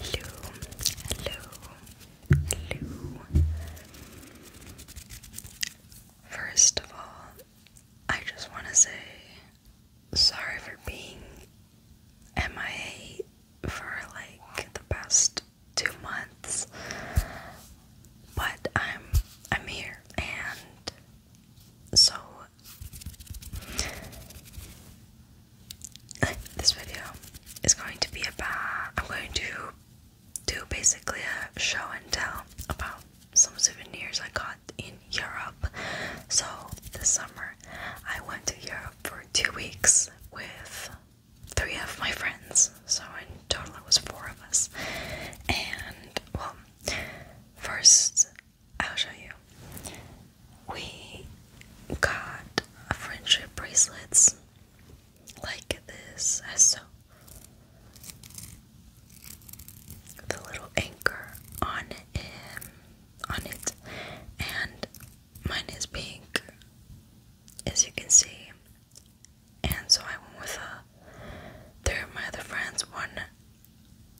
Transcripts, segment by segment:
Hello, hello, hello. First of all, I just want to say sorry for being MIA for like the past two months, but I'm I'm here and so this video is going to be about I'm going to do basically a show and tell about some souvenirs I got in Europe. So this summer I went to Europe for two weeks with three of my friends. So in total it was four of us. And well first I'll show you. We got friendship bracelets like this. So the little anchor on him, on it, and mine is pink, as you can see. And so I went with a. There, of my other friends. One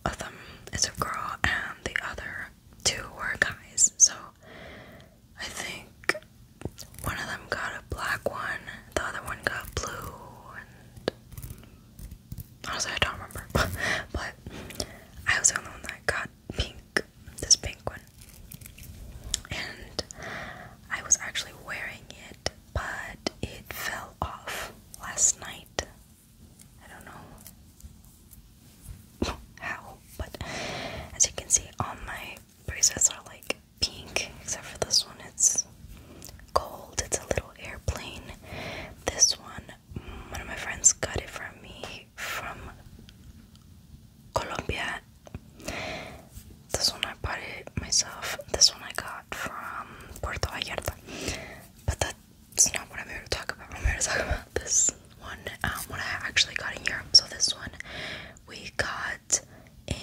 of them is a girl, and the other two were guys. So I think one of them got a black one, the other one got blue, and honestly, I don't remember. but I was the only one that got pink, this pink one. And I was actually wearing it, but it fell off last night I don't know how, but as you can see, all my bracelets are like pink, except for this one, it's gold. It's a little airplane. This one, one of my friends got it for me from Colombia. This one I bought it myself. This one I got from Puerto Vallarta. But that it's not what I'm here to talk about. I'm here to talk about this one, um, I actually got in Europe. So this one we got in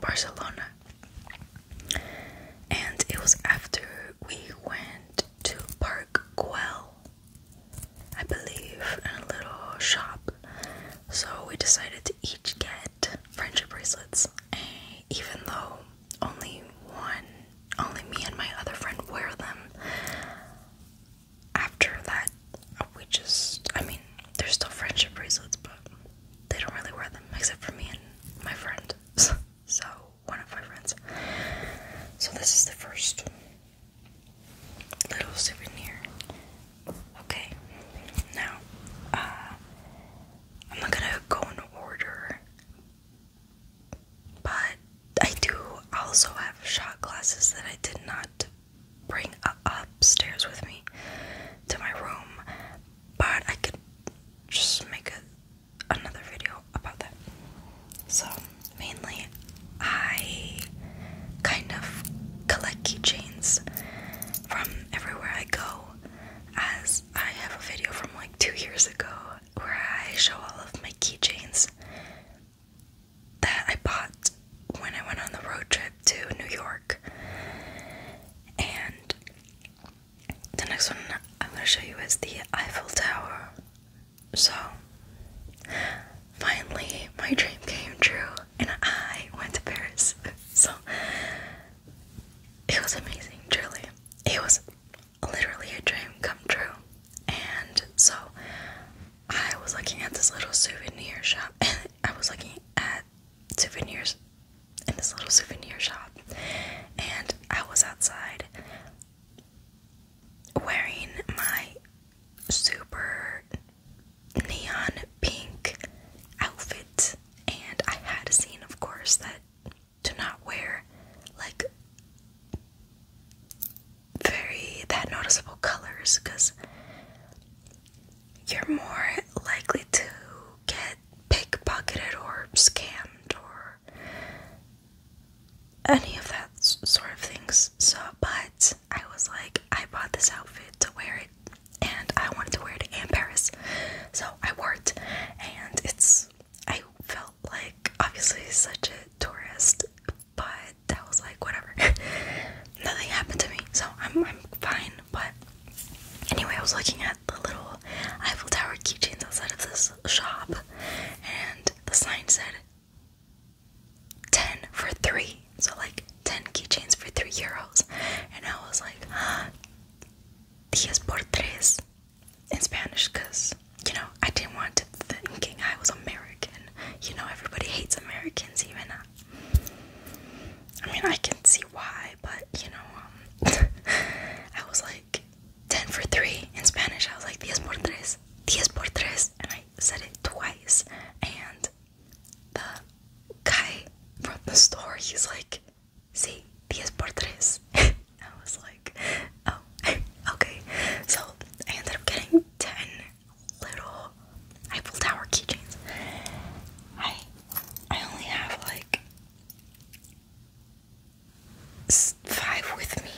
Barcelona, and it was after we went to Park Güell, I believe, in a little shop. So we decided to each get friendship bracelets. Eh, even though only one, only me and my other friend wear them, after that, we just, I mean, they're still friendship bracelets, but they don't really wear them except for me and my friend. so, one of my friends. So, this is the first little souvenir. Okay, now, uh, I'm not gonna go in order, but I do also have shot glasses that I did not bring upstairs with me to my room, but I could just make another video about that. So, mainly, I kind of collect keychains from everywhere I go as I have a video from like two years ago where I show all of my keychains that I bought when I went on the road trip to New York. And the next one I'm going to show you is the Eiffel Tower. So, finally, my dream came true, and I went to Paris. So, it was amazing, truly. It was literally a dream come true. And so I was looking at this little souvenir shop, and I was looking at souvenirs in this little souvenir shop, and I was outside wearing my super neon pink outfit. And I had seen, of course, that to not wear like very that noticeable colors because you're more likely to get pickpocketed or scammed or any of that sort of things. So, but I was like, I bought this outfit to wear it and I wanted to wear it in Paris. So I wore it and it's I felt like obviously such a tourist, but that was like whatever. Nothing happened to me, so I'm I'm fine, but anyway I was looking at the little Eiffel Tower keychains outside of this shop and the sign said 10 for 3 so like 10 keychains for 3 euros and I was like 10 por tres in Spanish because, you know, I didn't want to thinking I was American. You know, everybody hates Americans, even. Uh, I mean, I can see why, but, you know, um, I was like 10 for 3 in Spanish. I was like 10 por tres, 10 por tres, and I said it twice. And the guy from the store, he's like, see, 10 por I was like, oh, okay. So I ended up getting 10 little Eiffel Tower keychains. I, I only have like five with me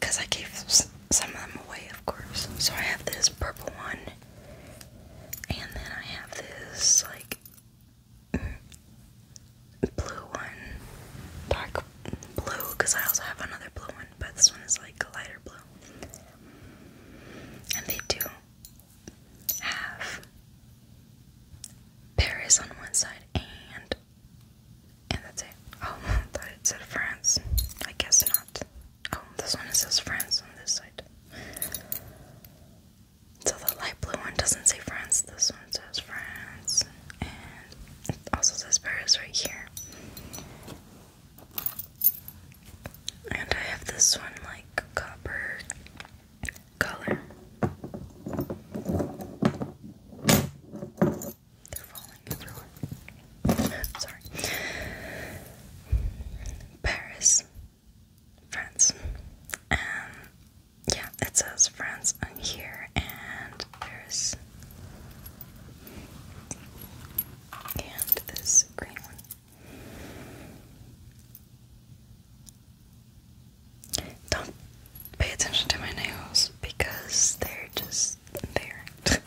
because I gave some of them away, of course. So I have this purple one, and then I have this like blue one, dark blue, because I also have another blue one, but this one is like a lighter blue. And they do have Paris on one side and and that's it. Oh, I thought it said France. I guess not. Oh, this one says France on this side. So the light blue one doesn't say France, this one says France, and also says Paris right here. And I have this one like copper color. They're falling everywhere. Sorry. Paris. France. Um, yeah, it says France on here, and there's and this green one. Don't pay attention to my nails because they're just there.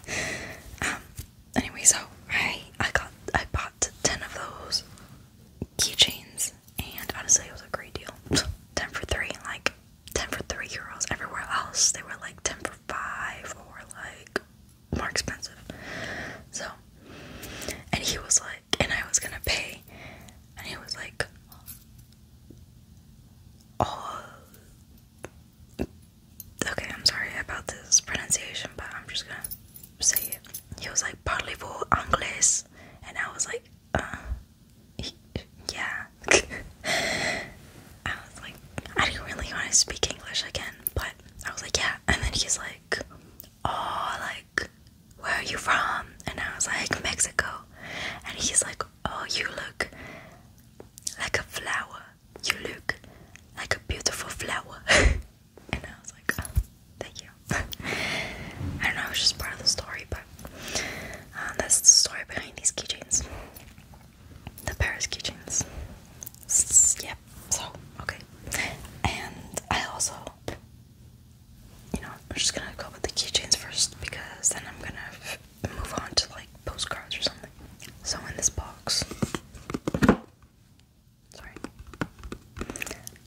um, anyway, so I I got I bought ten of those keychains, and honestly, it was a great deal. 10 for 3, like 10 for 3 euros. Everywhere else, they were like 10 for 5 or like more expensive. So, and he was like, and I was gonna pay, and he was like, Oh, okay, I'm sorry about this pronunciation, but I'm just gonna say it. He was like, parlez-vous anglais? And I was like, uh, yeah. I was like, I didn't really want to speak English again, but I was like, yeah. And then he's like, oh, like, where are you from? And I was like, Mexico. And he's like, oh, you look like a flower. You look like a beautiful flower. and I was like, oh, thank you. I don't know, it was just part of the story, but uh, that's the story behind these keychains. The Paris keychains. Yep, so, okay. And I also, you know, I'm just gonna go with the keychains first because then I'm gonna move on to like postcards or something. So, in this box, Sorry.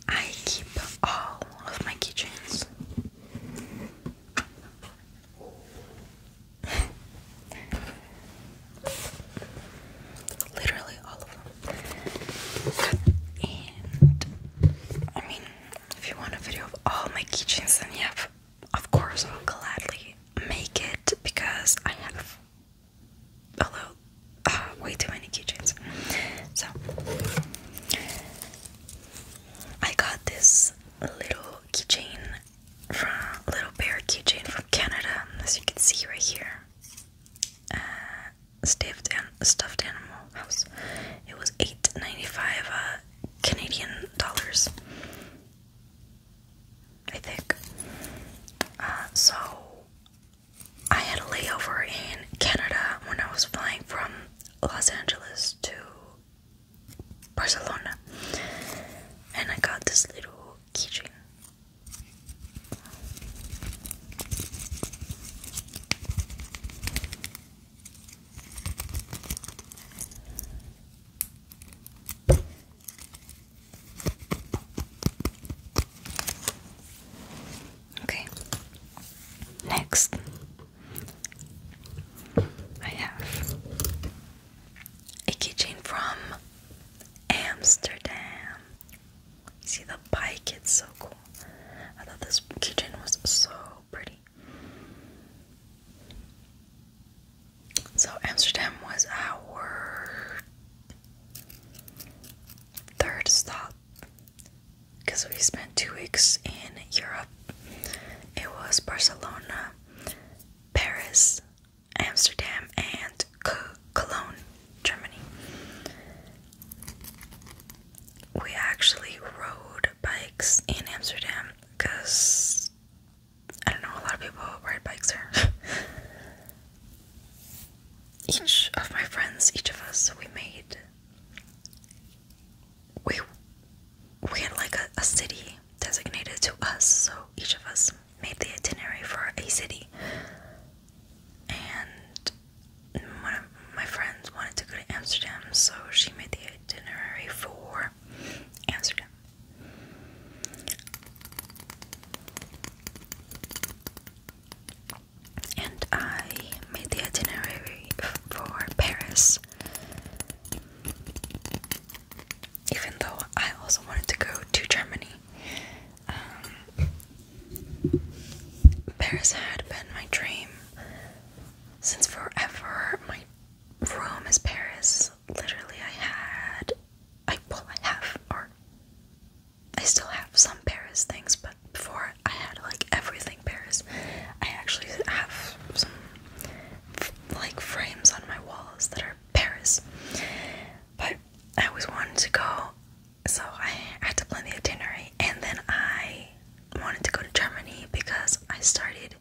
I keep all of my keychains. Literally all of them. And I mean, if you want a video of all my keychains, then yeah, of course I'll gladly make it because I have although uh, way too many keychains. So I got this little keychain from little bear keychain from Canada, as you can see right here. Uh, stuffed stuffed animal house. It was eight ninety five uh, Canadian dollars, I think. Uh, so I had a layover in Canada when I was flying from Los Angeles to Barcelona, and I got this little keychain. Okay. Next, I have a kitchen from Amsterdam. see the bike, it's so cool. I thought this keychain was so pretty. So Amsterdam was our Third stop, because we spent two weeks in Europe, it was Barcelona, Paris, Amsterdam, and Cologne, Germany. We actually rode bikes in Amsterdam because I don't know, a lot of people ride bikes there. each of my friends, each of us, we made we we had like a, a city designated to us, so each of us made the itinerary for a city. And one of my friends wanted to go to Amsterdam, so she made the itinerary for Amsterdam and I made the itinerary for Paris. Even though I also wanted to go to Germany, um, Paris had been my dream since forever. My room is Paris. Literally, I had I well I have or I still have some Paris things, but before I had like everything Paris. I actually have some like frames on my walls that are Paris. But I always wanted to go, so I had to plan the itinerary, and then I wanted to go to Germany because I started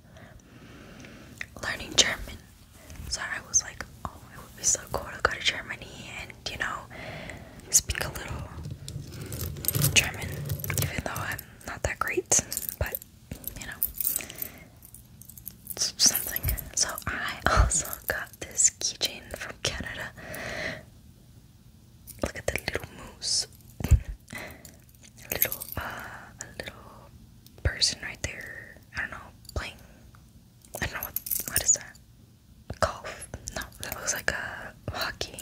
learning German so I was like, oh, it would be so cool to go to Germany and, you know, speak a little German, even though I'm not that great, but, you know, it's something. So I also got this keychain from Canada. Look at the little moose. little, uh, little person right there. I don't know, playing I don't know what is that? Golf? No, that looks like a hockey.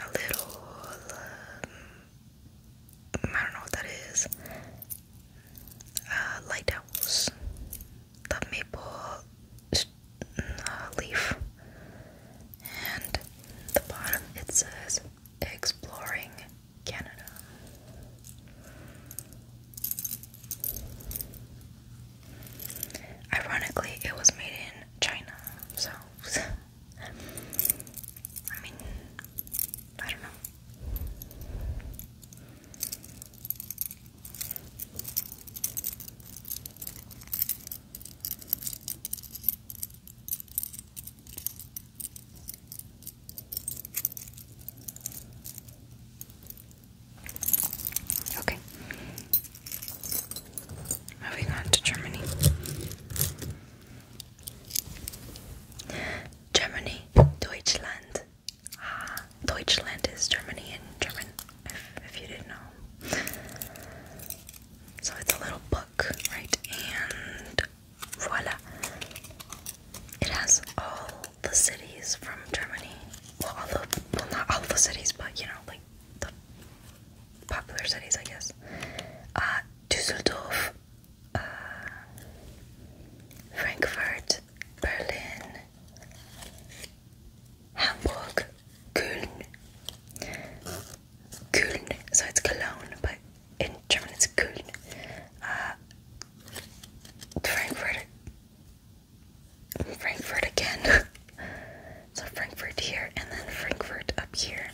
A little, um, I don't know what that is. Uh, The maple uh, leaf. And the bottom it says exploring Canada. Ironically, it was made in China, so I mean, I don't know. Okay. Moving on to Germany. Germany, Deutschland. Ah, Deutschland is Germany in German, if you didn't know. So it's a little book, right? And Voila. It has all the cities from Germany. Well, all the, well, not all the cities, but you know, like the popular cities, I guess. Uh, Düsseldorf, uh, Frankfurt, Berlin, Hamburg, Köln. Köln, so it's Cologne, but in Germany, it's Köln, uh, Frankfurt, Frankfurt again, so Frankfurt here, and then Frankfurt up here,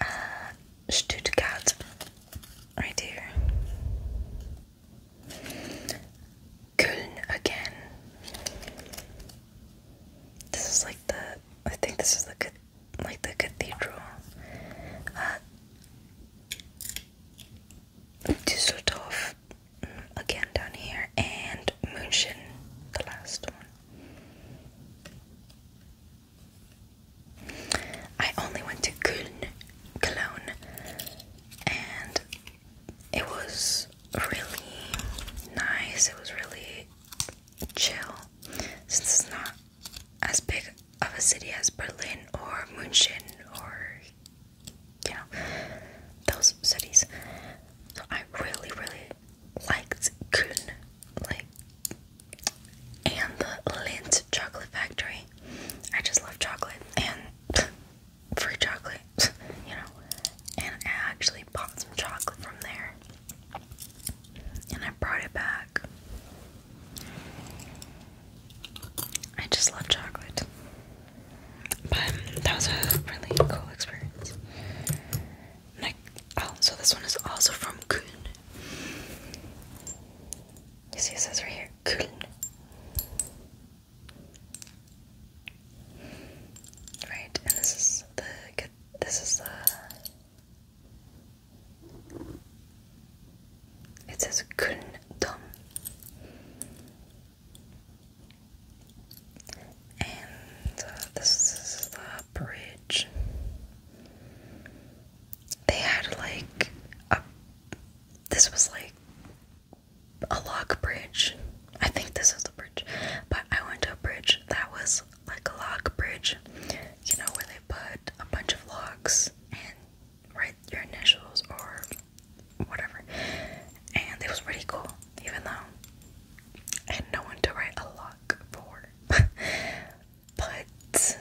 uh, Stuttgart, right here, Köln again, this is like the, I think this is the good like the cathedral Düsseldorf, ah, mm, again down here, and München, the last one. I only went to Köln, Cologne, and it was really nice. It was really chill since it's not as big of a city as Berlin or München or you know those cities. I really, really liked Köln, like and the Lindt chocolate factory. I just love chocolate and free chocolate, you know. And I actually bought some chocolate from there and I brought it back. I just love chocolate. But that was a really cool experience. Like, oh, so this one is also from Kuhn. You see, it says right here Kuhn. Right, and this is the this is the it says Gundam. And uh, this is the bridge. They had like a. This was like a log bridge. I think this is the bridge. But I went to a bridge that was like a log bridge, you know, where they put a bunch of logs and write your initials or whatever. And it was pretty cool, even though I had no one to write a log for. but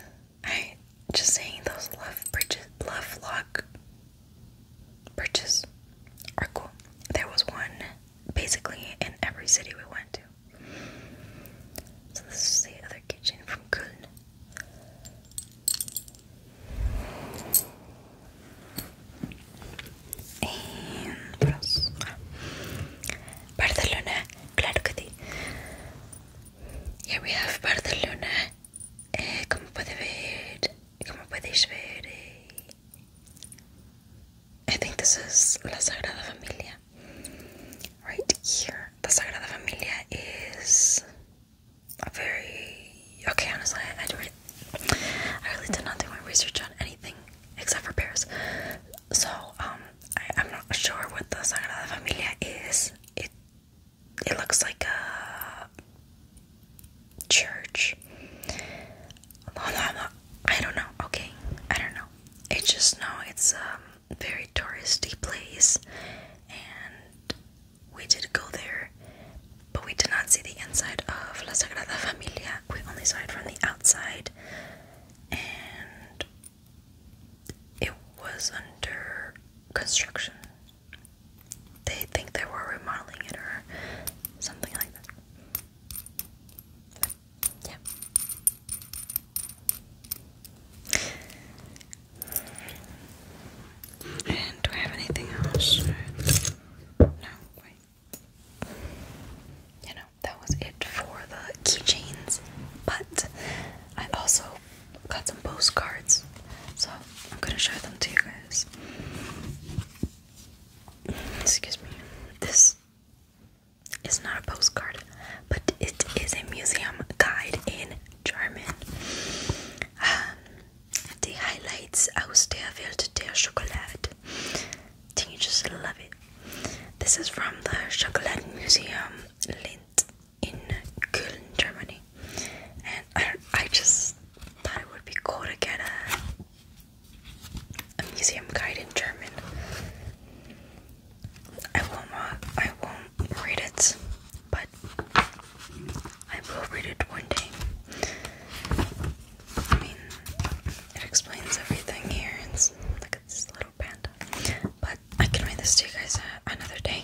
I just saying those love bridges, love log bridges are cool. There was one basically in every city we went to. So this is the other kitchen from Köln. And what Barcelona, claro we have Barcelona. Eh, como puede ver, como podéis ver, eh, I think this is La Sagrada Familia. Right here, the Sagrada Familia is a very okay. Honestly, I, I do it. I really did not do my research on anything except for Paris. So, um, I, am not sure what the Sagrada Familia is. It it looks like a church. I don't know, okay? I don't know. It just know it's a very touristy place and we did go there but we did not see the inside of La Sagrada Familia. We only saw it from the outside and it was under construction. They think they were remodeling it or something like that. Yeah. do I have anything else? No, wait. You know, that was it for the keychains, but I also got some postcards, so I'm gonna show them to you guys. Excuse me. This it's not a postcard, but it is a museum guide in German. Um, the highlights aus der Welt you just love it. This is from the Chocolate Museum Lindt in Köln, Germany. And I, I just thought it would be cool to get a a museum guide in German. I won't I won't read it, but I will read it one day. I mean, it explains everything here. It's like this little panda, but I can read this to you guys uh, another day.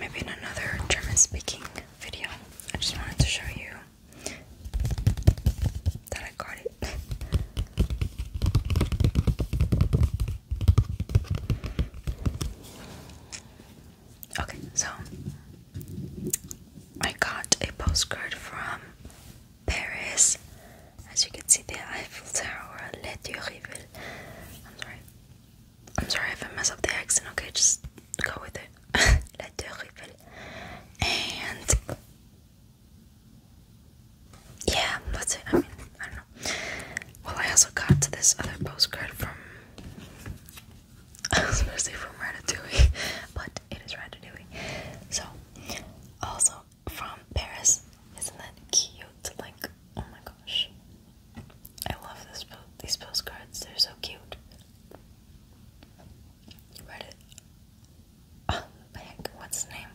Maybe in another German speaking video. I just wanted to show you that I got it. okay, so I got a postcard from Paris. As you can see, the Eiffel Tower, Les Rivières. I'm sorry. I'm sorry if I mess up the accent, okay? Just go with it. La Tour Eiffel. And yeah, that's it. I mean, I don't know. Well, I also got this other postcard from. I was gonna but it is Ratatouille. So, also from Paris. Isn't that cute? Like, oh my gosh. I love this po these postcards. They're so cute. You Read it. Oh, what's the name?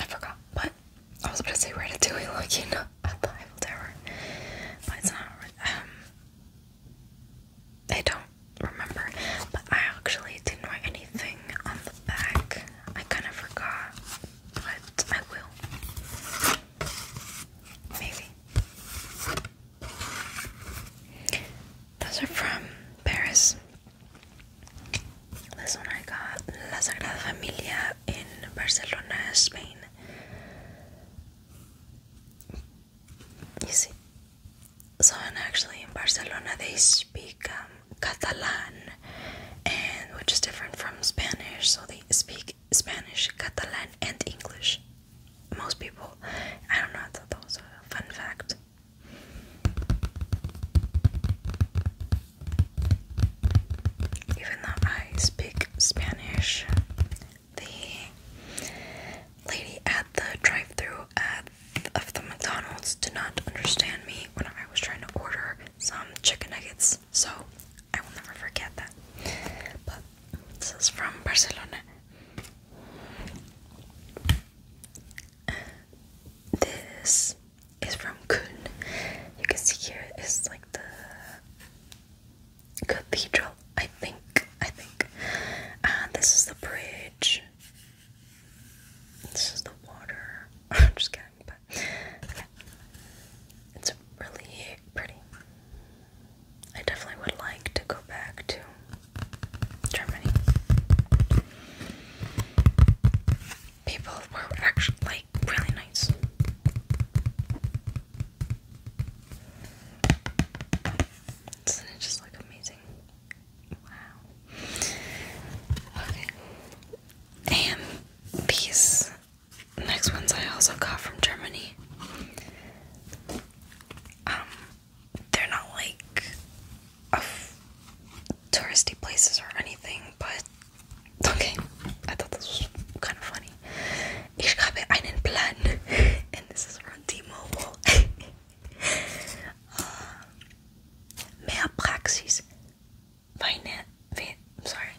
I forgot, What I was going to say Ratatouille, like, you know, at the Tower. But it's not, um, I don't remember. But I actually didn't write anything on the back. I kind of forgot, but I will. Maybe. Those are from Paris. This one I got La Sagrada Familia in Barcelona, Spain. You see, so and actually in Barcelona they speak um, Catalan, and which is different from Spanish. So they speak Spanish, Catalan, and English most people. I don't know, I thought fun fact. Even though I speak Spanish, the lady at the drive through of the McDonald's did not understand me when I was trying to order some chicken nuggets, so I will never forget that. But this is from Barcelona. This is from Kun. You can see here is like the cathedral, I think. I think. And uh, this is the bridge. This is the water. I'm just kidding, but yeah. It's really pretty. I definitely would like to go back to Germany. People were actually like really nice. is just like amazing? Wow. Okay. And these next ones I also got from Germany. Um, they're not like touristy places or anything, but okay. I thought this was kind of funny. Ich habe einen Plan, and this is from T-Mobile. uh, mehr Praxis, weine, sorry,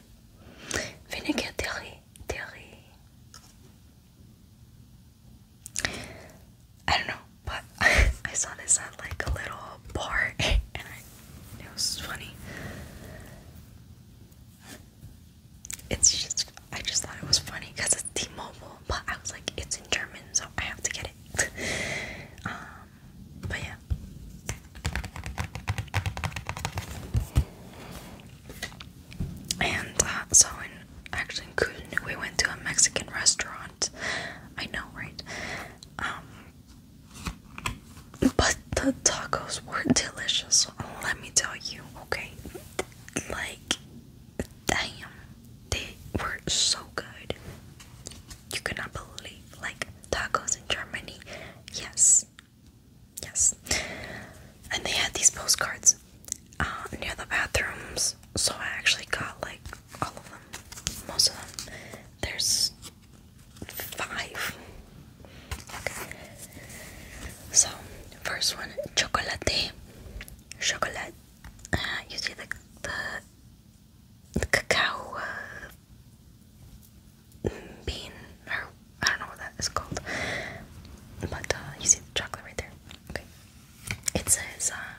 weniger Theorie, Theorie. I don't know, but I saw this at like a little bar and it was funny. It's just, I just thought it was funny because it's T Mobile, but I was like, it's in German, so I have to get it. Um, but yeah. And uh, so, in, actually, we went to a Mexican restaurant. I know, right? Um, but the tacos were delicious. Let me tell you, okay? Like, damn, they were so good. You cannot believe, like, tacos in Germany. Yes, Yes. And they had these postcards uh, near the bathrooms, so I actually got like all of them, most of them. There's five. Okay. So, first one, chocolate. Chocolate. Uh, the, the, cacao uh, bean or I don't know what that is called. But uh, you see the chocolate right there. Okay. It says, uh,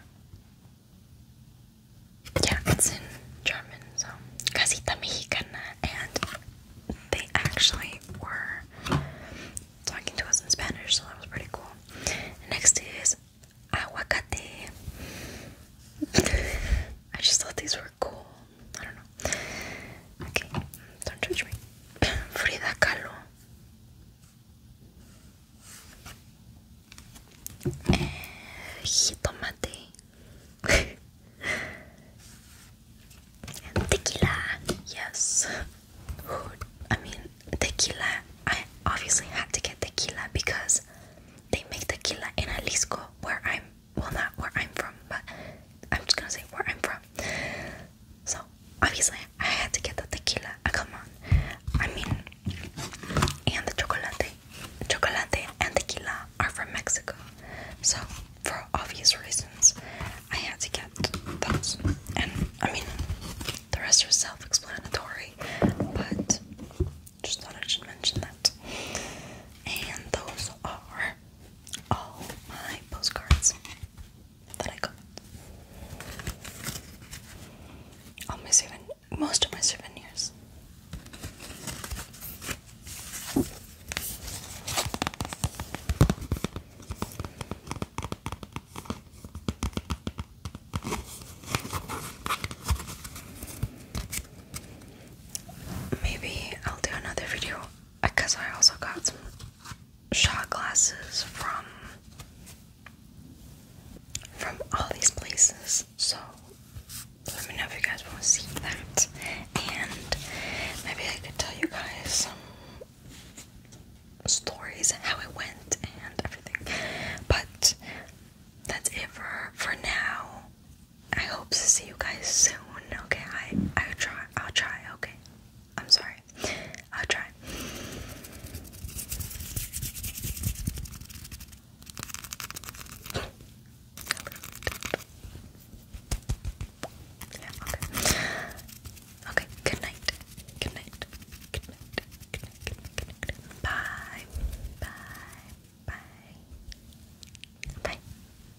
yeah, it's in German, so Casita Mexicana. And they actually were talking to us in Spanish, so that was pretty cool. Next is aguacate. I just thought these were cool. I don't know. Okay, don't judge me. Frida Kahlo. Eh, tequila. Yes. I mean, tequila. I obviously had to get tequila because they make tequila in Jalisco, where I'm well, not where I'm from, but I'm just gonna say where I'm from. So obviously I had to get the tequila. Ah, come on, I mean, and the chocolate, chocolate and tequila are from Mexico. So for obvious reasons, I had to get those. And I mean, the rest are self-explanatory, but just thought I should mention that. And those are all my postcards that I got. All my souven most of my souvenirs. Maybe I'll do another video because I also got some shot glasses from from all these places. So let me know if you guys want to see that, and maybe I could tell you guys some stories and how it went and everything. But that's it for for now. I hope to see you guys soon. Okay, I I'll try. I'll try. Okay, I'm sorry. I'll try. Yeah, okay. Okay, Good night. Good night. Good night. Good night. Good night. Bye. Bye. Bye. Bye.